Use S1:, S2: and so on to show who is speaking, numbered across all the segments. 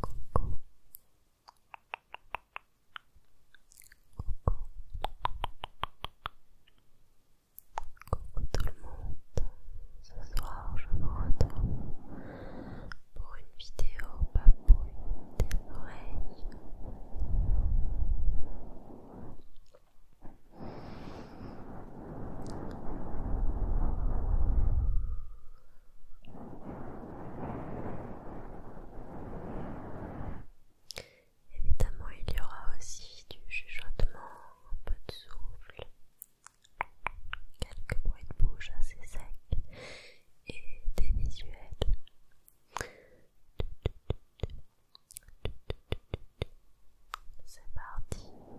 S1: Coucou. Coucou. tout le monde. Ce soir, je vous retrouve pour une vidéo papouille des oreilles. Évidemment, il y aura aussi du chuchotement, un peu de souffle, quelques bruits de bouche assez secs et des visuels. C'est parti.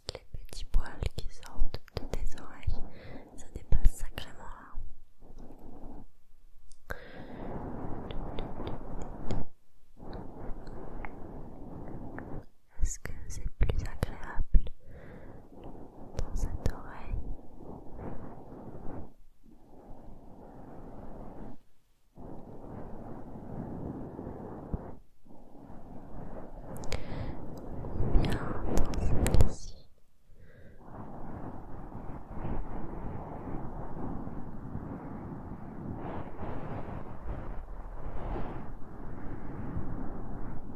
S1: Les petits poils qui sortent de tes oreilles, ça dépasse sacrément là. Est-ce que c'est plus agréable dans cette oreille bien dans celle-ci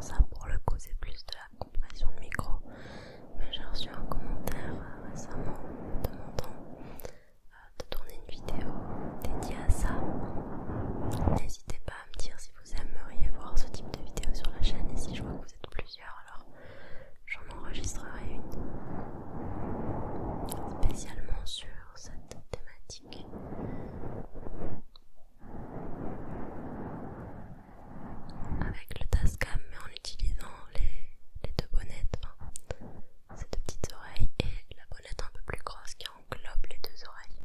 S1: Ça pour le coup c'est plus de la compression de micro. Mais j'ai reçu un commentaire euh, récemment demandant euh, de tourner une vidéo dédiée à ça. N'hésitez pas à me dire si vous aimeriez voir ce type de vidéo sur la chaîne et si je vois que vous êtes plusieurs alors j'en enregistrerai une spécialement sur cette thématique avec le TASCAM, mais en utilisant les deux bonnettes, ces deux petites oreilles et la bonnette un peu plus grosse qui englobe les deux oreilles.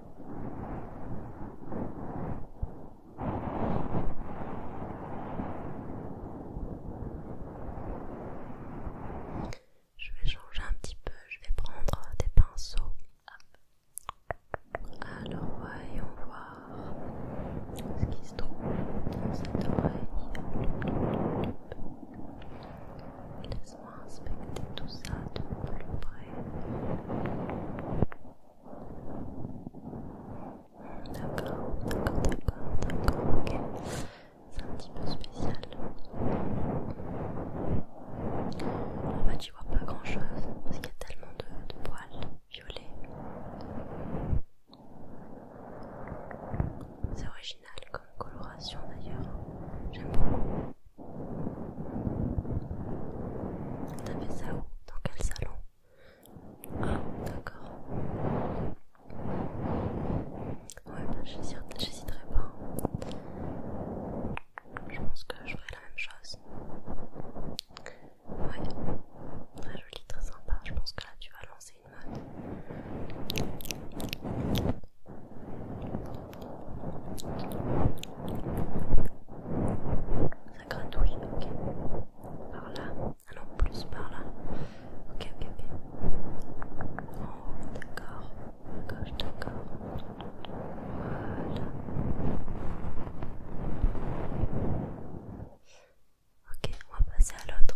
S2: Je vais changer un petit peu, je vais prendre des pinceaux. Alors voyons voir ce qui se trouve dans cette oreille. Laisse-moi inspecter tout ça de plus près. D'accord, d'accord, d'accord, ok. C'est un petit peu spécial.
S1: En fait, j'y vois pas grand chose parce qu'il y a tellement de, de poils violets. C'est original comme coloration d'ailleurs. J'aime beaucoup. T'as fait ça où Dans quel salon Ah, d'accord. Ouais, bah, j'hésiterai pas. Hein. Je pense que je ferai la même chose. Ouais, très joli, très sympa. Je pense que là tu vas lancer une mode. Ça gratouille, ok. Par là. alors plus par là. Ok, ok, ok. d'accord. D'accord, d'accord. Voilà. Ok, on va passer à l'autre.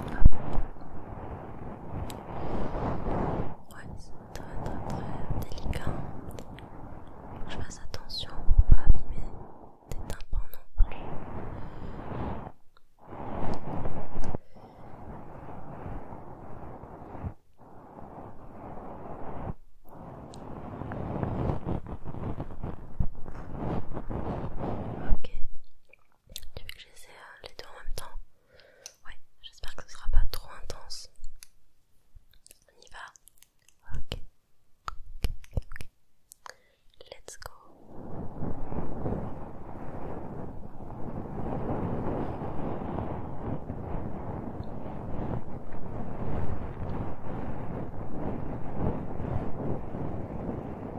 S1: Ouais, c'est très très très délicat. Faut que je fasse attention pour pas abîmer tes tympans non plus. Ok, tu veux que j'essaie euh, les deux en même temps Ouais, j'espère que ce sera pas trop intense. On y va Ok. Let's go.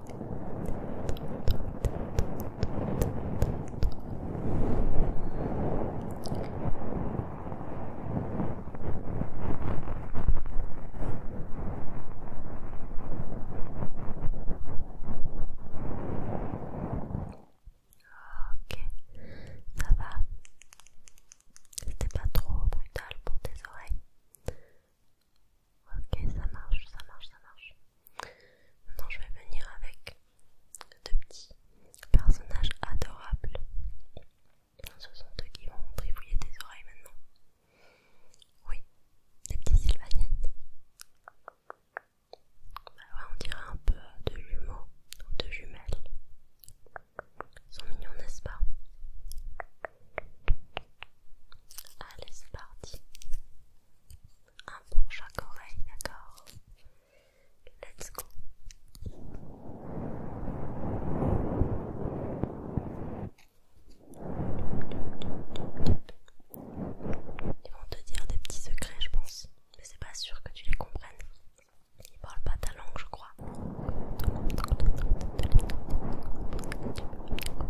S1: Ok, ça va. C'était pas trop brutal pour tes oreilles. Ok, ça marche, ça marche, ça marche. Maintenant, je vais venir avec deux petits personnages adorables. Ce sont eux qui vont brivouiller tes oreilles maintenant. Oui, des petits sylvaniennes. Bah on dirait un peu de jumeaux ou de jumelles. Ils sont mignons, n'est-ce pas Allez, c'est parti un pour chaque oreille, d'accord Let's go Ils vont te dire des petits secrets, je pense, mais c'est pas sûr que tu les comprennes. Ils parlent pas ta langue, je crois.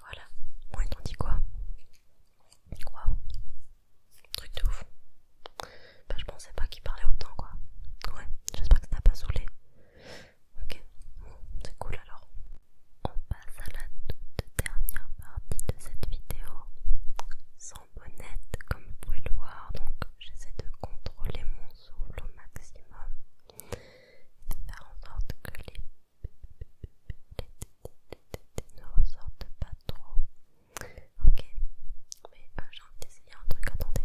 S1: Voilà. Bon, et t'en dis quoi Waouh Truc de ouf. Bah, je pensais pas qu'il parlait autant, quoi. Ouais, j'espère que ça t'a pas saoulé. Ok, bon, c'est cool alors. On passe à la toute dernière partie de cette vidéo. Sans bonnet comme vous pouvez le voir, donc j'essaie de contrôler mon souffle au maximum. De faire en sorte que les ne ressortent pas trop. Ok, mais euh, j'ai envie d'essayer un truc, attendez.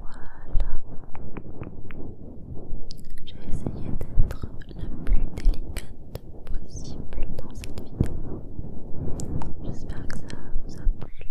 S1: Voilà, j'ai essayé d'être la plus délicate possible dans cette vidéo. J'espère que ça vous a plu.